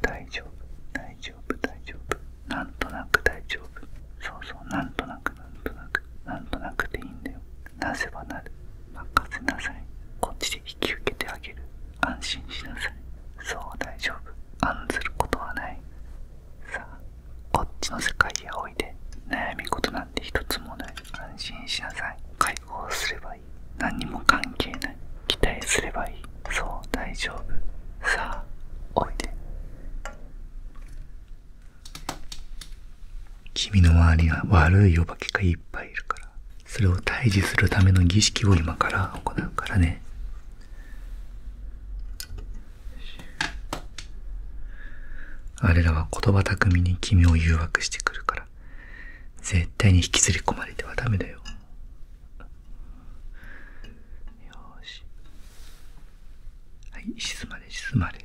大丈夫大丈夫大丈夫なんとなく大丈夫そうそうなんとなくなんとなくなんとなくでいいんだよなぜばなる任せなさいこっちで引き受けてあげる安心しなさいそう大丈夫案ずることはないさあこっちの世界へおいで悩み事なんて一つもない安心しなさい解放すればいい。何にも関係ない期待すればいいそう大丈夫さあおいで君の周りは悪いお化けがいっぱいいるからそれを退治するための儀式を今から行うからねあれらは言葉巧みに君を誘惑してくるから絶対に引きずり込まれてはダメだよよしはい沈まれ沈まれ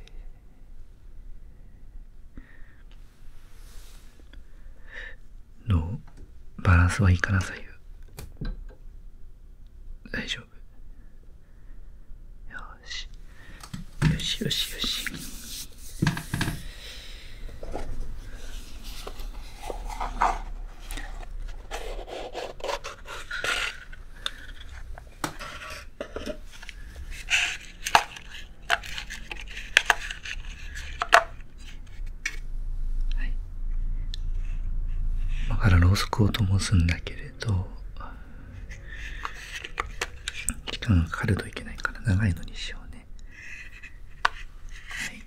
どうバランスはいいかな左右大丈夫よしよしよしよしはい今からろうそくを灯すんだけれど時間がかかるといけないから長いのにしようねはい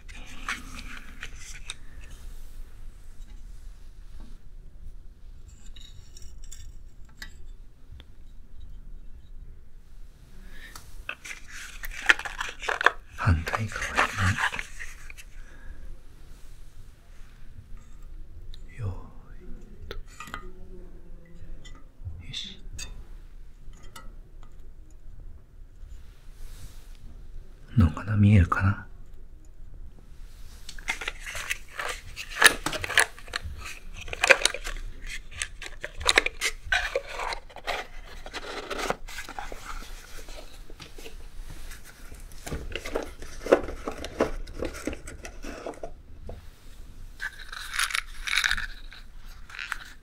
反対側によいと。し、のかな見えるかな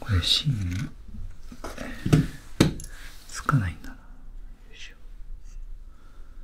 これ芯つかないんだなよいしょ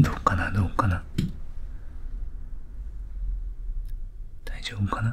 どうかなどうかな大丈夫かな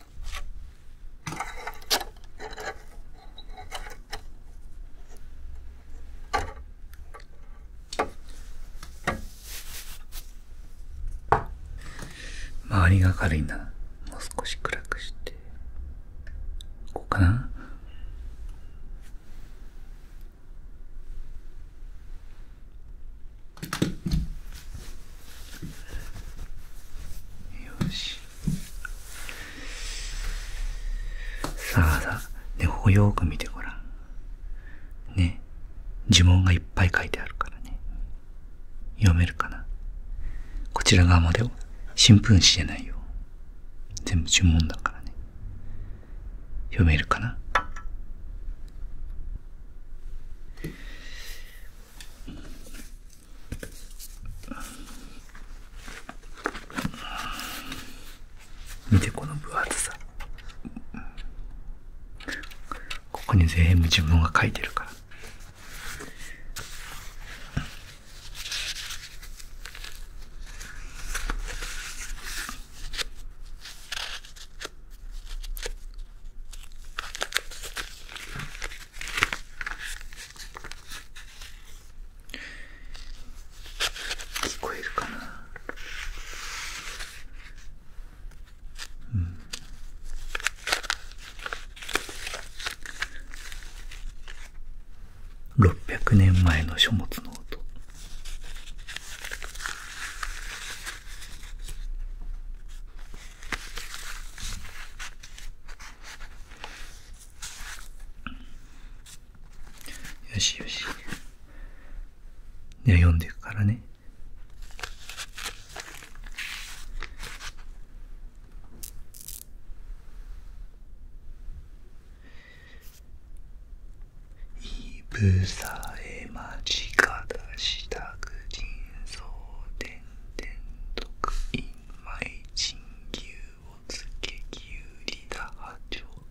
周りが軽いな。もう少し暗くして。こうかなよし。さあさあ、ね、ここよく見てごらん。ね、呪文がいっぱい書いてあるからね。読めるかなこちら側までを新聞紙じゃないよ。全部呪文だからね。読めるかな見てこの分厚さここに全部自分が書いてるから聞こえるかなうん600年前の書物の音よしよし。では読んでいくからね。いぶさえ間近だしたく人相伝伝徳い毎日牛をつけ、きゅうりだ、はちょう、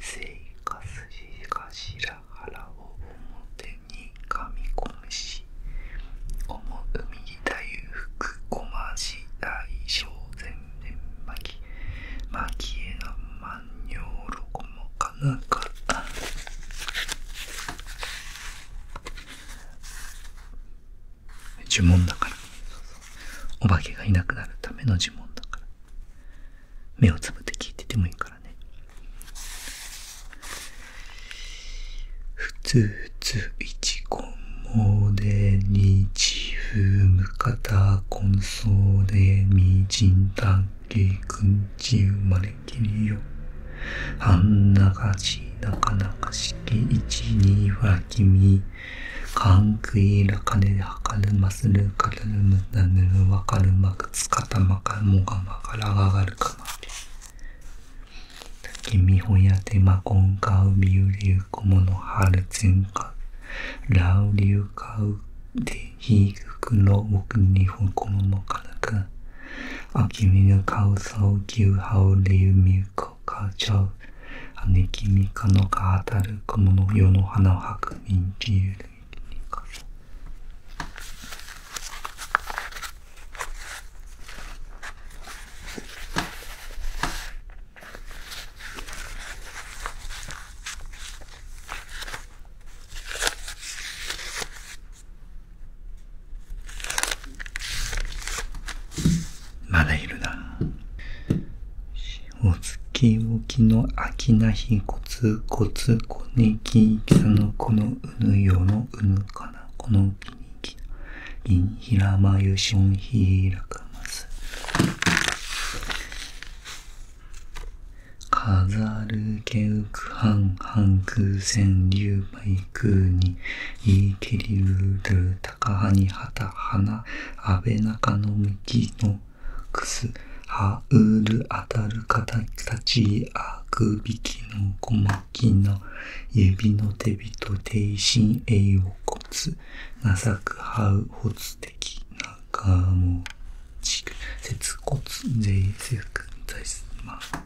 せいかすしかしらはらを表にかみこむし、おもうみぎたゆふく、ごまじだいしょうぜんぜんまき、まきえなまんにょろこもかなか呪文だからお化けがいなくなるための呪文だから目をつぶって聞いててもいいからねふつついちこもでにちふむかたこんそうでみじんたんきくんち生まれきりよあんながしなかなか式一二はんくいらかではかるまするかるむなぬるわかるまくつかたまかもがまからががるかまで君ほやてまこんかうみうりゅうこものはるつんからうりゅうかうでひぐくのおくにほこももからかあきみぬかうそうきゅうはうりゅうみゆこかじょう。姉きみかのが当たる小物世の花を吐く民地ゆるみにかぞ。まだいるな。お月おきの秋な日コツコツこねききさのこのうぬよのうぬかなこのきにきいんひらまゆしょんひらかます。飾るけうくはんはんくせんりゅうぱい空に、いけりうるる、たかはにはたはな、あべなかのみきのくす、はうるあたるかたち、あくびきのこまきの、ゆびのてびとていしんえいをこつ、なさくはうほつてきなかもちく、せつこつ、ぜいせくざいすま。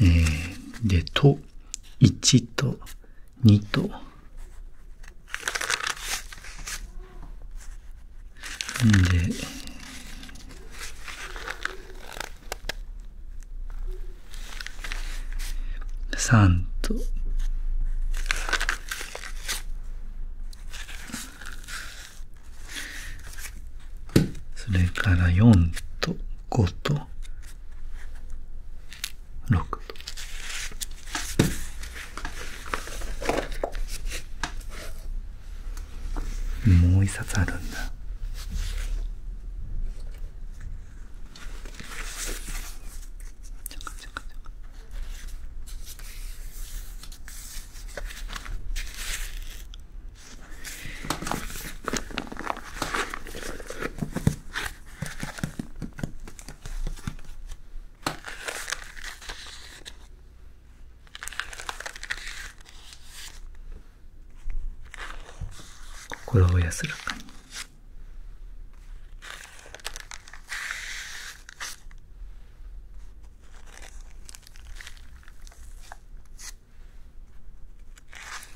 えー、で、と、1と、2と、んで、3と、それから4と5と6と。もう一冊あるんだ。心を安らかに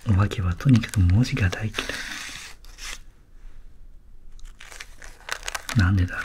お化けはとにかく文字が大嫌い。なんでだろう。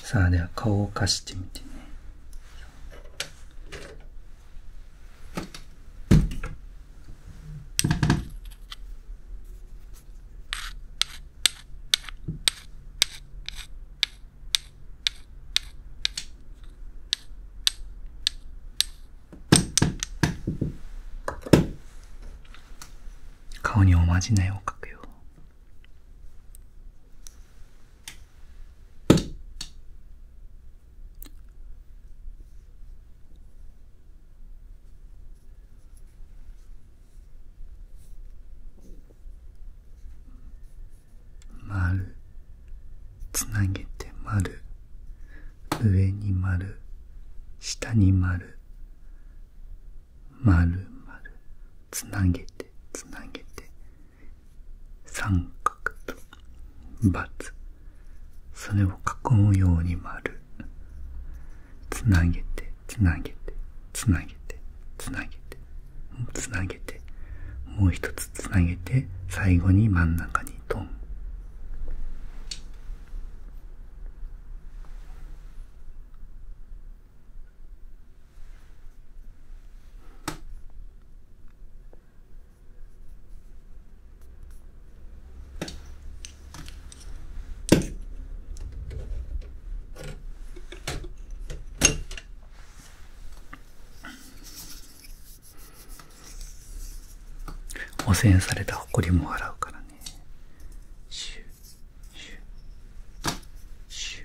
さあでは顔を貸してみてね顔におまじないをかくよ丸つなげて丸上に丸下に丸丸丸つなげてつなげて三角とバツ。それを囲むように丸つなげてつなげてつなげてつなげてつなげてもう一つつなげて最後に真ん中にトン汚染された埃も洗うからねシュシュシュ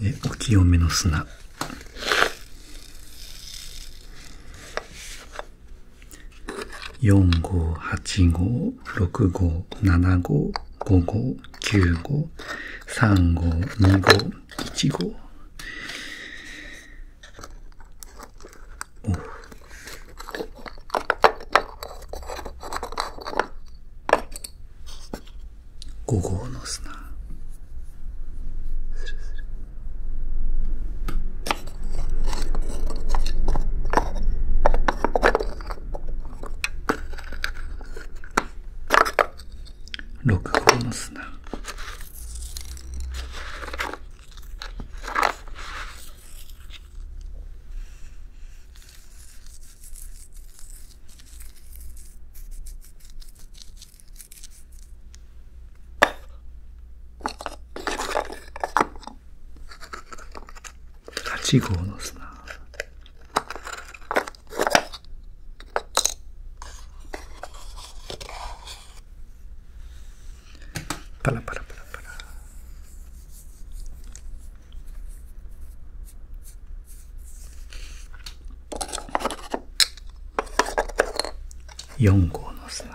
でお清めの砂4号、8号、6号、7五、5号、9号、3号、2号、1号。5号の砂6号の砂8号の砂パラパラパラパラ4号の砂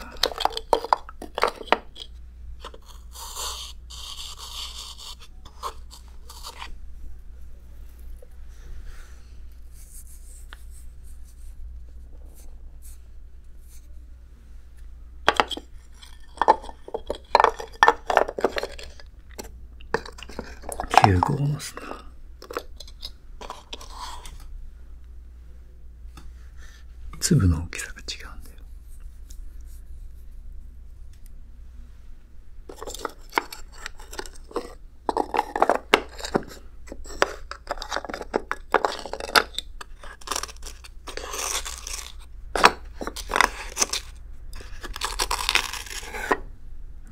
9号の砂粒の大きさが違うんだよ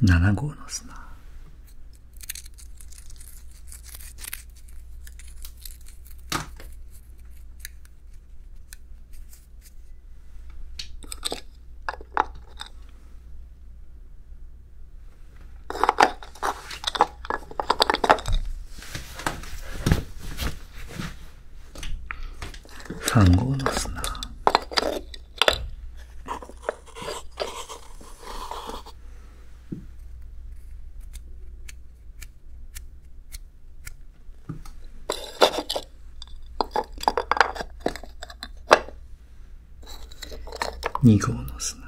7号の砂。3号の砂2号の砂